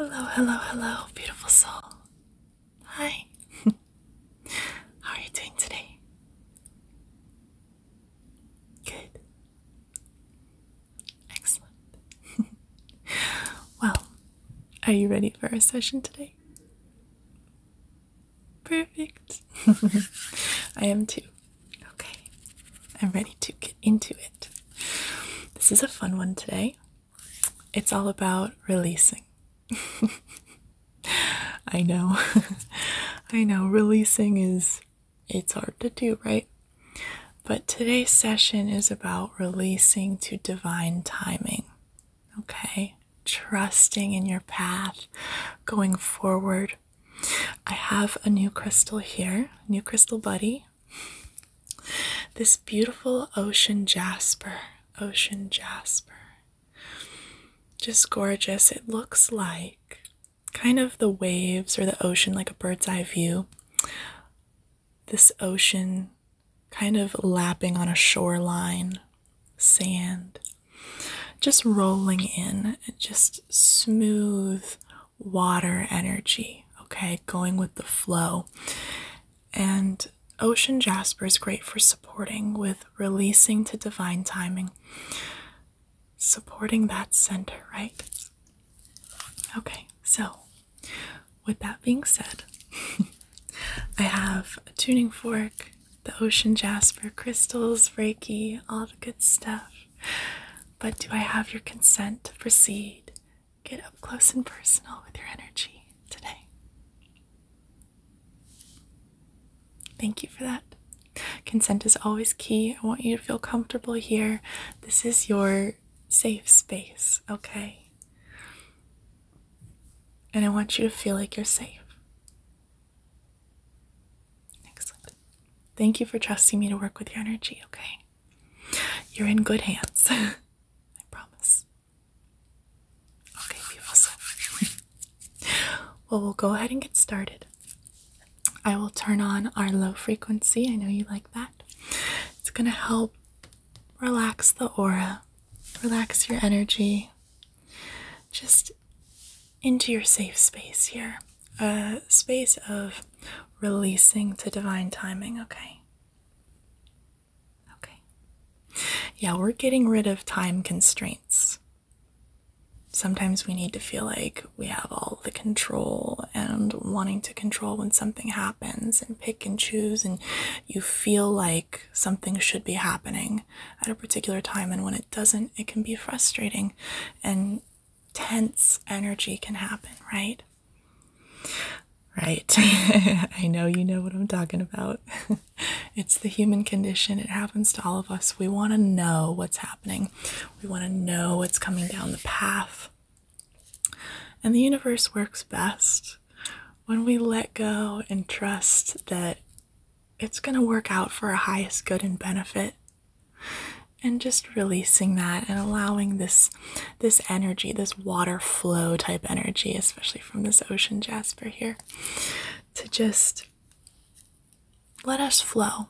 Hello, hello, hello, beautiful soul. Hi. How are you doing today? Good. Excellent. well, are you ready for our session today? Perfect. I am too. Okay. I'm ready to get into it. This is a fun one today. It's all about releasing. I know. I know. Releasing is it's hard to do, right? But today's session is about releasing to divine timing. Okay? Trusting in your path, going forward. I have a new crystal here, new crystal buddy. This beautiful ocean jasper, ocean jasper. Just gorgeous. It looks like kind of the waves or the ocean, like a bird's eye view. This ocean kind of lapping on a shoreline, sand, just rolling in, just smooth water energy, okay, going with the flow. And ocean jasper is great for supporting with releasing to divine timing, supporting that center, right? Okay, so with that being said, I have a tuning fork, the ocean jasper crystals, Reiki, all the good stuff. But do I have your consent to proceed? Get up close and personal with your energy today. Thank you for that. Consent is always key. I want you to feel comfortable here. This is your safe space, okay? And I want you to feel like you're safe. Excellent. Thank you for trusting me to work with your energy, okay? You're in good hands. I promise. Okay, beautiful. Well, we'll go ahead and get started. I will turn on our low frequency. I know you like that. It's going to help relax the aura, relax your energy, just into your safe space here a space of releasing to divine timing, okay? Okay. Yeah, we're getting rid of time constraints sometimes we need to feel like we have all the control and wanting to control when something happens and pick and choose and you feel like something should be happening at a particular time and when it doesn't it can be frustrating and tense energy can happen right right i know you know what i'm talking about it's the human condition. It happens to all of us. We want to know what's happening, we want to know what's coming down the path. And the universe works best when we let go and trust that it's going to work out for our highest good and benefit and just releasing that and allowing this this energy this water flow type energy especially from this ocean jasper here to just let us flow.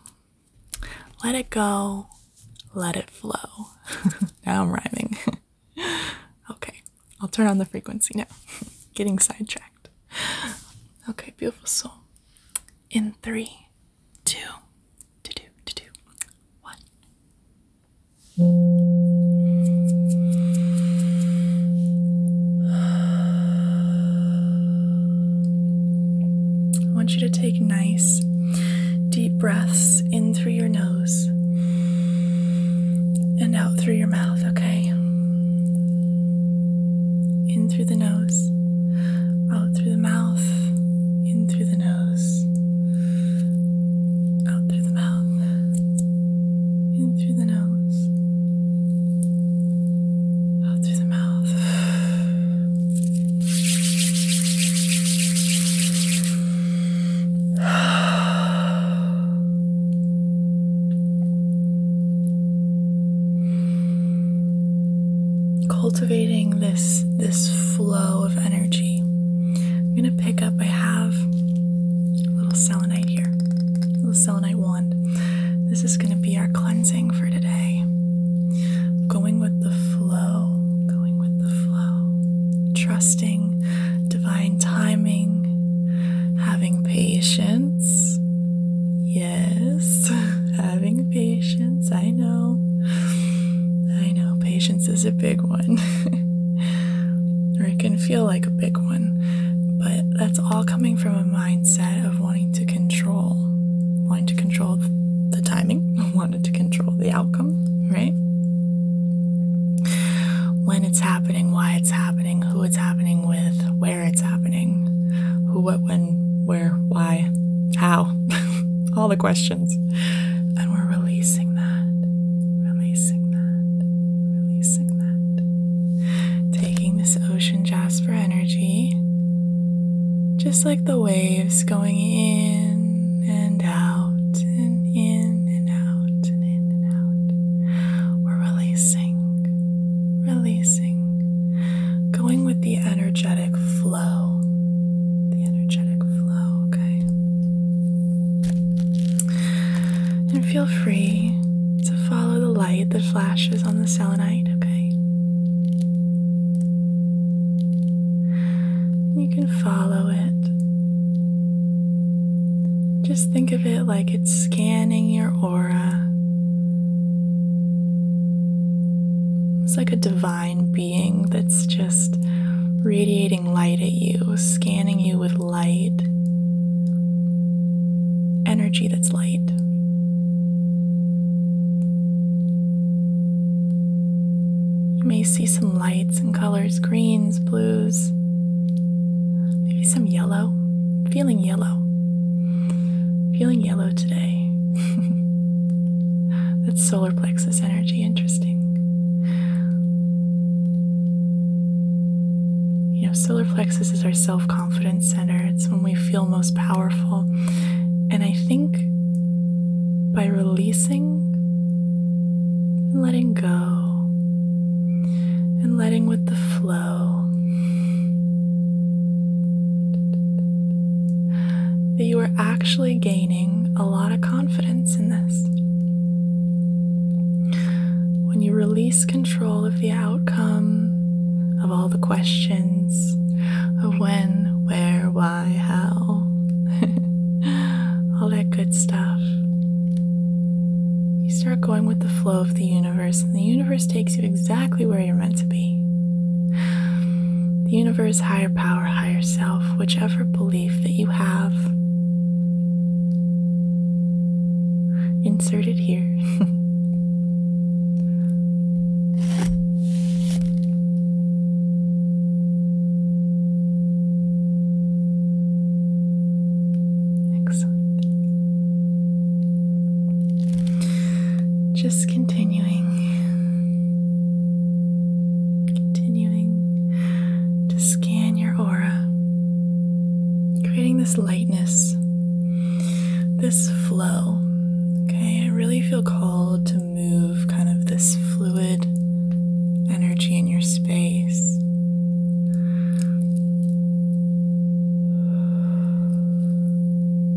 Let it go. Let it flow. now I'm rhyming. okay, I'll turn on the frequency now. Getting sidetracked. Okay, beautiful soul. In three, three, two, two, two, two, two, one. I want you to take nice deep breaths in through your nose and out through your mouth, okay? In through the nose, out through the mouth, in through the nose, out through the mouth, in through the nose, out through the mouth. Cultivating this this flow of energy. I'm gonna pick up I have a little selenite here. A little selenite wand this is going to be our cleansing for today. Going with the flow, going with the flow, trusting divine timing, having patience. Yes, having patience. I know. I know patience is a big one. or it can feel like a big one, but that's all coming from a mindset of wanting to control, wanting to control the timing, wanting to control the outcome, right? When it's happening, why it's happening, who it's happening with, where it's happening, who, what, when, where, why, how, all the questions. And we're releasing that, releasing that, releasing. Taking this ocean jasper energy, just like the waves going in and out, and in and out, and in and out. We're releasing, releasing, going with the energetic flow. The energetic flow, okay? And feel free to follow the light that flashes on the selenite, okay? You can follow it. Just think of it like it's scanning your aura. It's like a divine being that's just radiating light at you, scanning you with light, energy that's light. You may see some lights and colors greens, blues, maybe some yellow. feeling yellow. feeling yellow today. that's solar plexus energy, interesting. You have solar plexus this is our self confidence center, it's when we feel most powerful. And I think by releasing and letting go and letting with the flow, that you are actually gaining a lot of confidence in this. When you release control of the outcome of all the questions of when, where, why, how, all that good stuff. You start going with the flow of the universe, and the universe takes you exactly where you're meant to be. The universe, higher power, higher self, whichever belief that you have Insert it here. Excellent. Just continuing, continuing to scan your aura creating this lightness, this flow. Okay, I really feel called to move kind of this fluid energy in your space.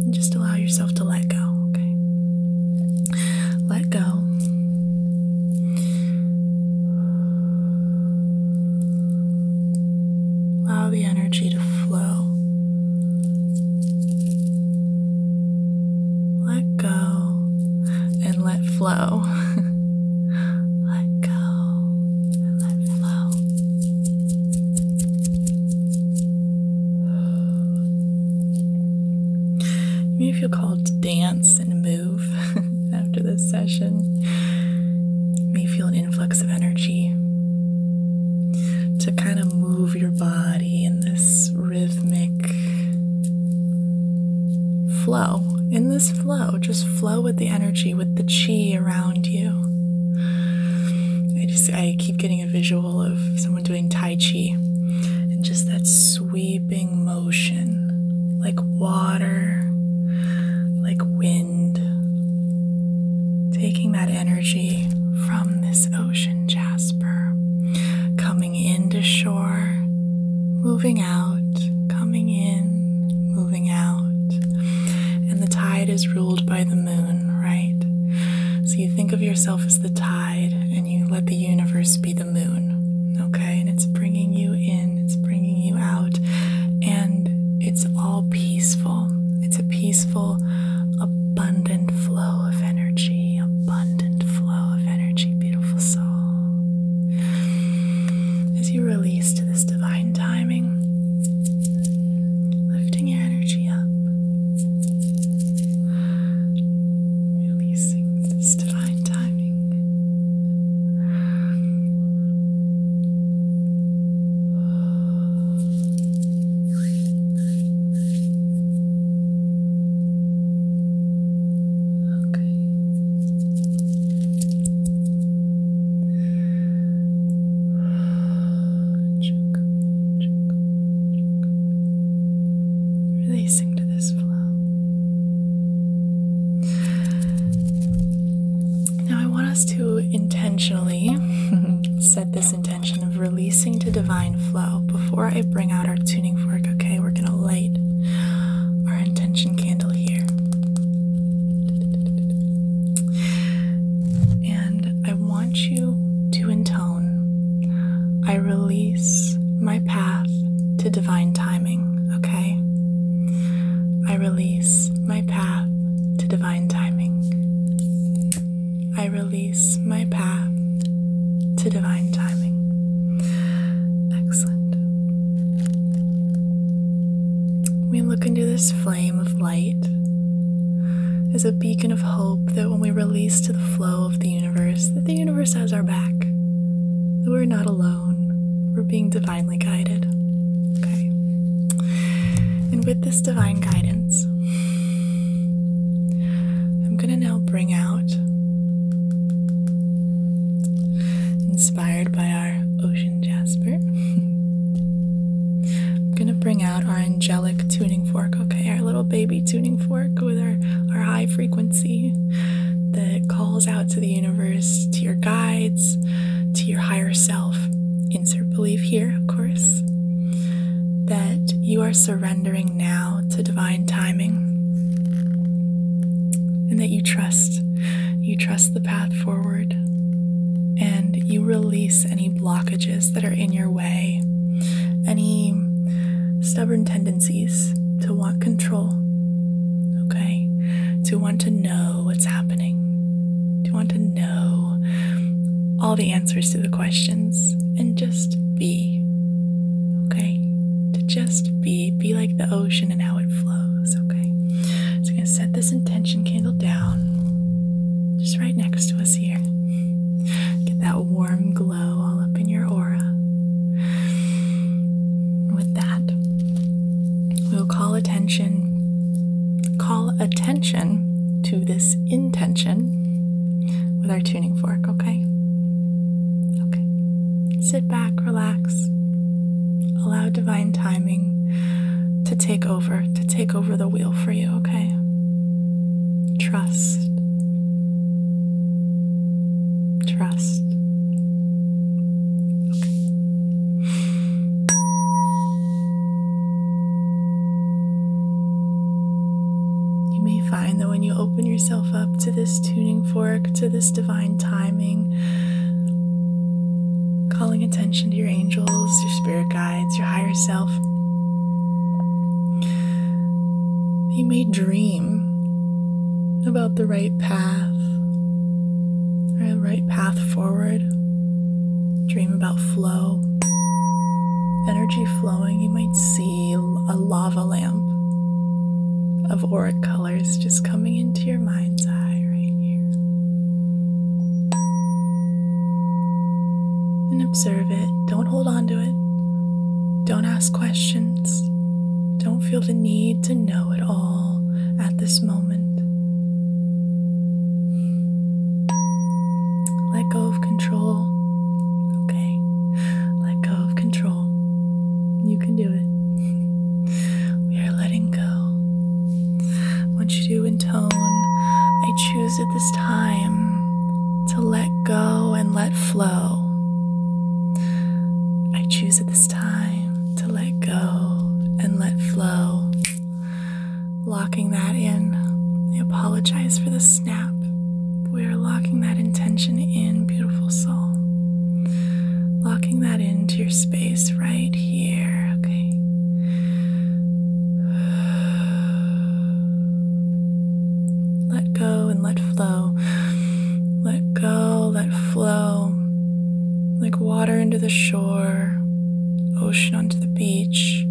And just allow yourself to let go, okay? Let go. Allow the energy to flow. Let go and let flow. let go and let flow. You may feel called to dance and move. after this session. You may feel an influx of energy to kind of move your body in this rhythmic flow. In this flow, just flow with the energy, with the chi around you. I just I keep getting a visual of someone doing tai chi and just that sweeping motion like water, like wind. Taking that energy from this ocean jasper, coming in to shore, moving out, coming in, moving out. And the tide is ruled by the moon, right? So you think of yourself as the tide and you let the universe be the moon, okay? and it's bringing you in, it's bringing you out, and it's all peaceful. It's a peaceful, abundant flow of energy, abundant flow of energy, beautiful soul. As you release to this divine timing, lifting your energy up, releasing this divine timing. Check, check, check. Releasing to this flow. Now, I want us to intentionally set this intention of releasing to divine flow before I bring out our tuning fork. Okay, we're going to light our intention candle here. And I want you to intone I release my path to divine timing okay? I release my path to divine timing. I release my path to divine timing. Excellent. We look into this flame of light as a beacon of hope that when we release to the flow of the universe, that the universe has our back. That we're not alone. We're being divinely guided. Okay. And with this divine guidance, I'm going to now bring out, inspired by our ocean jasper, I'm going to bring out our angelic tuning fork, okay, our little baby tuning fork with our, our high frequency that calls out to the universe, to your guides, to your higher self. Insert belief here, of course, that you are surrendering now to divine timing and that you trust. You trust the path forward and you release any blockages that are in your way, any stubborn tendencies to want control, okay? To want to know what's happening, You want to know all the answers to the questions and just be. Okay? To just be. Be like the ocean and how it flows. Okay? So I'm going to set this intention candle down just right next to us here. Get that warm glow all up in your aura. With that, We'll call attention, call attention to this intention with our tuning fork, okay? Okay. Sit back, relax. Allow divine timing to take over, to take over the wheel for you, okay? Trust. Trust. You may find that when you open yourself up to this tuning fork, to this divine timing, calling attention to your angels, your spirit guides, your higher self. You may dream about the right path the right path forward. Dream about flow, energy flowing. You might see a lava lamp of auric colors just coming into your mind's eye right here. And observe it. Don't hold on to it. Don't ask questions. Don't feel the need to know it all at this moment. Let go of control. Okay. Let go of control. You can do it. We are letting go. Once you do in tone, I choose at this time to let go and let flow. I choose at this time to let go and let flow. Locking that in. I apologize for the snap. We are locking that intention in, beautiful soul. Locking that into your space right here, okay? Let go and let flow. Let go, let flow like water into the shore, ocean onto the beach,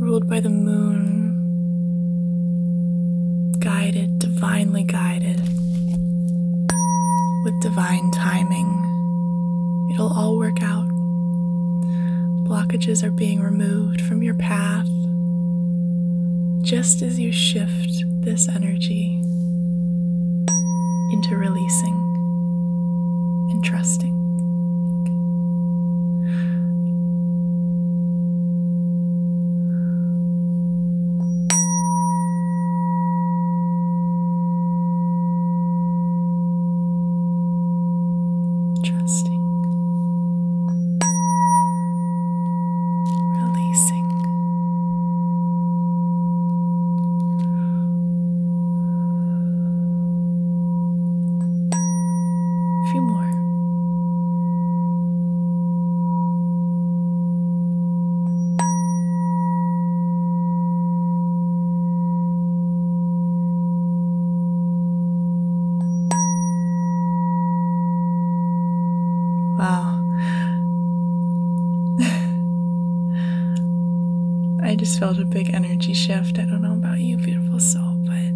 ruled by the moon, guided, divinely guided, with divine timing. It'll all work out. Blockages are being removed from your path just as you shift this energy into releasing and trusting. Trusting releasing. few more. Wow, I just felt a big energy shift. I don't know about you, beautiful soul, but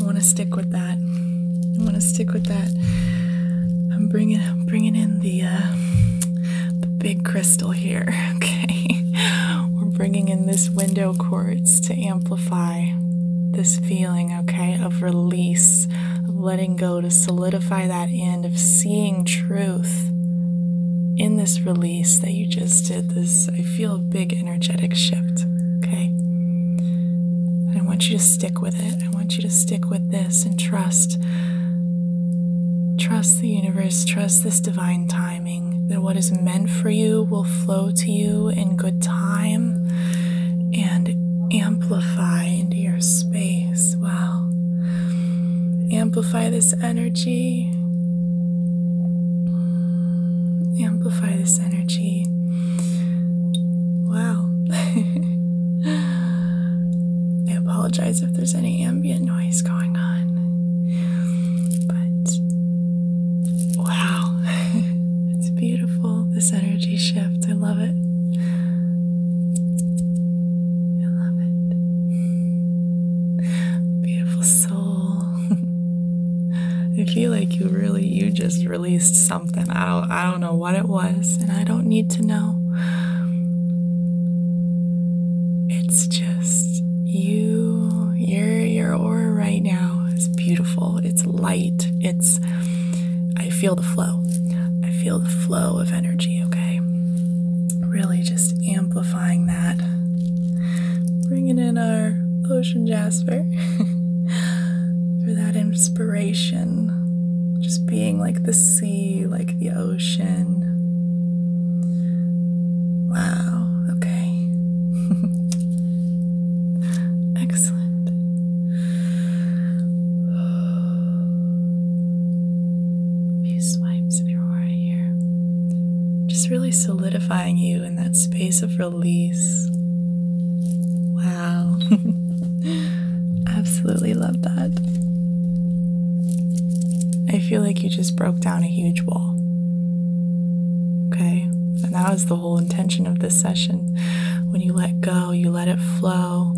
I want to stick with that. I want to stick with that. I'm bringing, bringing in the, uh, the big crystal here. Okay, we're bringing in this window quartz to amplify this feeling, okay, of release, letting go, to solidify that end, of seeing truth in this release that you just did. This, I feel a big energetic shift, okay? I want you to stick with it. I want you to stick with this and trust. Trust the universe, trust this divine time timing, that what is meant for you will flow to you in good time and amplify into your space. Wow. Amplify this energy. Amplify this energy. Wow. I apologize if there's any ambient noise going on. But wow. it's beautiful, this energy shift. I love it. I love it. Beautiful soul. I feel like you really you just released something. I don't I don't know what it was, and I don't need to know. It's just you your your aura right now is beautiful it's light it's i feel the flow i feel the flow of energy okay really just amplifying that bringing in our ocean jasper for that inspiration just being like the sea like the ocean wow okay Excellent. A few swipes of your aura here. Just really solidifying you in that space of release. Wow. Absolutely love that. I feel like you just broke down a huge wall. Okay? And that was the whole intention of this session. When you let go, you let it flow,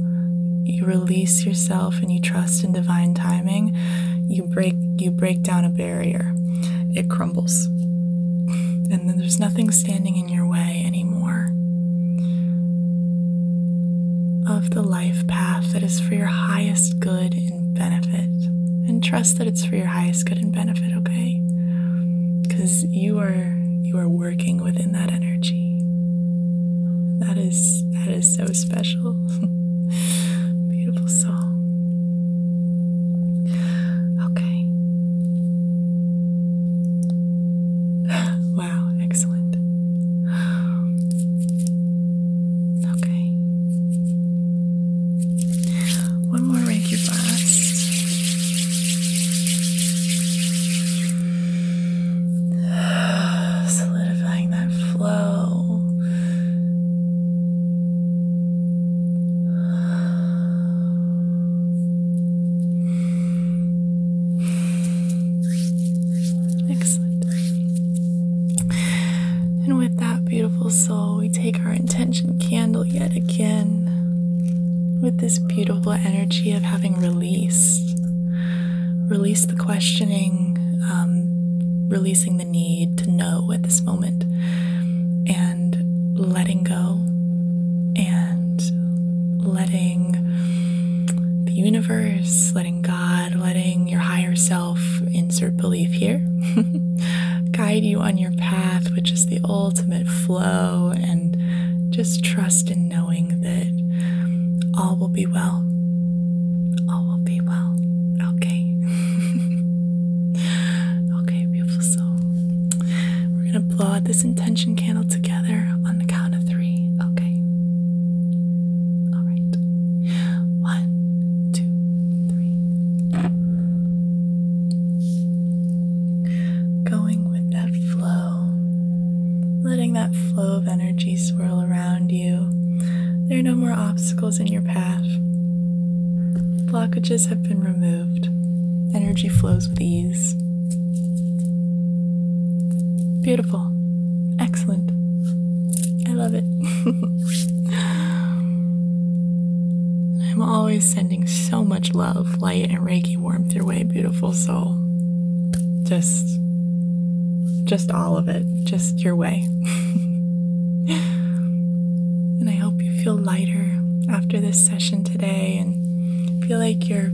you release yourself and you trust in divine timing, you break you break down a barrier. It crumbles. and then there's nothing standing in your way anymore of the life path that is for your highest good benefit. And trust that it's for your highest good and benefit, okay? Because you are you are working within that energy. That is that is so special. Beautiful soul. Okay. Wow, excellent. Okay. One more rake your Solidifying that flow. Excellent. And with that beautiful soul, we take our intention candle yet again with this beautiful energy of having released. Release the questioning, um, releasing the need to know at this moment, and letting go and letting the universe, letting God, letting your higher self insert belief here, guide you on your path, which is the ultimate flow, and just trust in knowing that all will be well. All will be well. Okay. okay, beautiful soul. We're going to blow out this intention candle together on the count of three. Okay. All right. One, two, three. Going with that flow, letting that flow of energy swirl around you. There are no more obstacles in your path. Blockages have been removed. Energy flows with ease. Beautiful. Excellent. I love it. I'm always sending so much love, light, and Reiki warmth your way, beautiful soul. Just, just all of it, just your way. and I hope you feel lighter after this session today, and feel like you're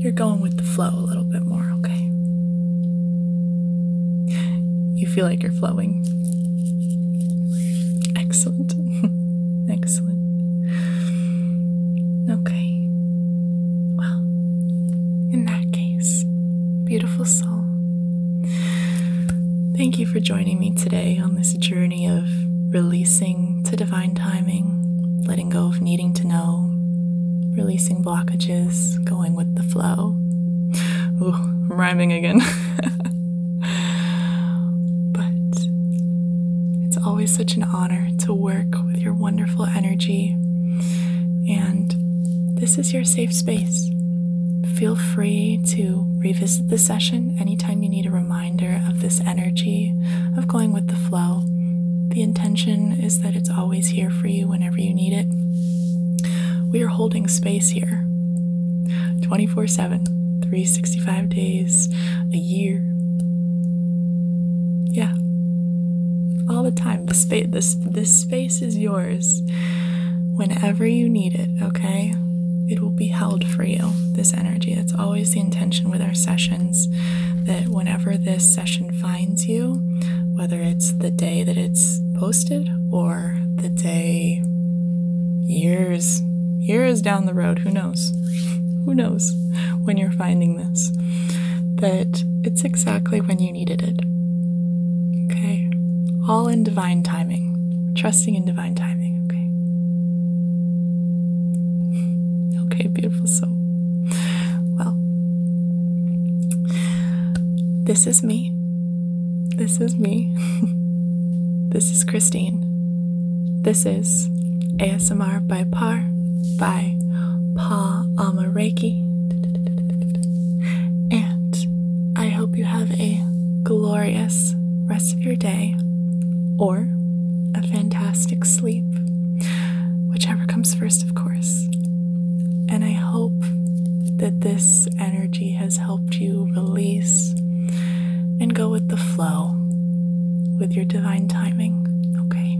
you're going with the flow a little bit more. Okay, you feel like you're flowing. Excellent. Excellent. Okay. Well, in that case, beautiful soul, thank you for joining me today on this journey of releasing to divine timing, letting go of needing to know, releasing blockages, going with the flow. Ooh, I'm rhyming again. but it's always such an honor to work with your wonderful energy, and this is your safe space. Feel free to revisit the session anytime you need a reminder of this energy of going with the flow. The intention is that it's always here for you whenever you need it. We are holding space here 24 7, 365 days a year. Yeah. All the time. The space this space is yours whenever you need it, okay? It will be held for you, this energy. It's always the intention with our sessions that whenever this session finds you, whether it's the day that it's posted or the day, years, years down the road, who knows? Who knows when you're finding this? That it's exactly when you needed it. Okay? All in divine timing. Trusting in divine timing, okay? Okay, beautiful soul. Well, this is me. This is me. this is Christine. This is ASMR by Par by Par Amareki. And I hope you have a glorious rest of your day or a fantastic sleep, whichever comes first, of course. And I hope that this energy has helped you release and go with the flow with your divine timing. Okay.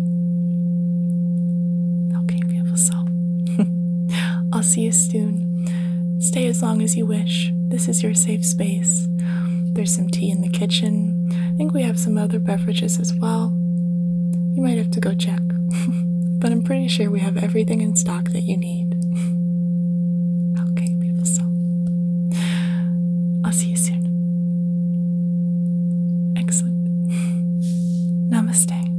Okay, beautiful soul. I'll see you soon. Stay as long as you wish. This is your safe space. There's some tea in the kitchen. I think we have some other beverages as well. You might have to go check, but I'm pretty sure we have everything in stock that you need. Okay, people, so I'll see you soon. Excellent. Namaste.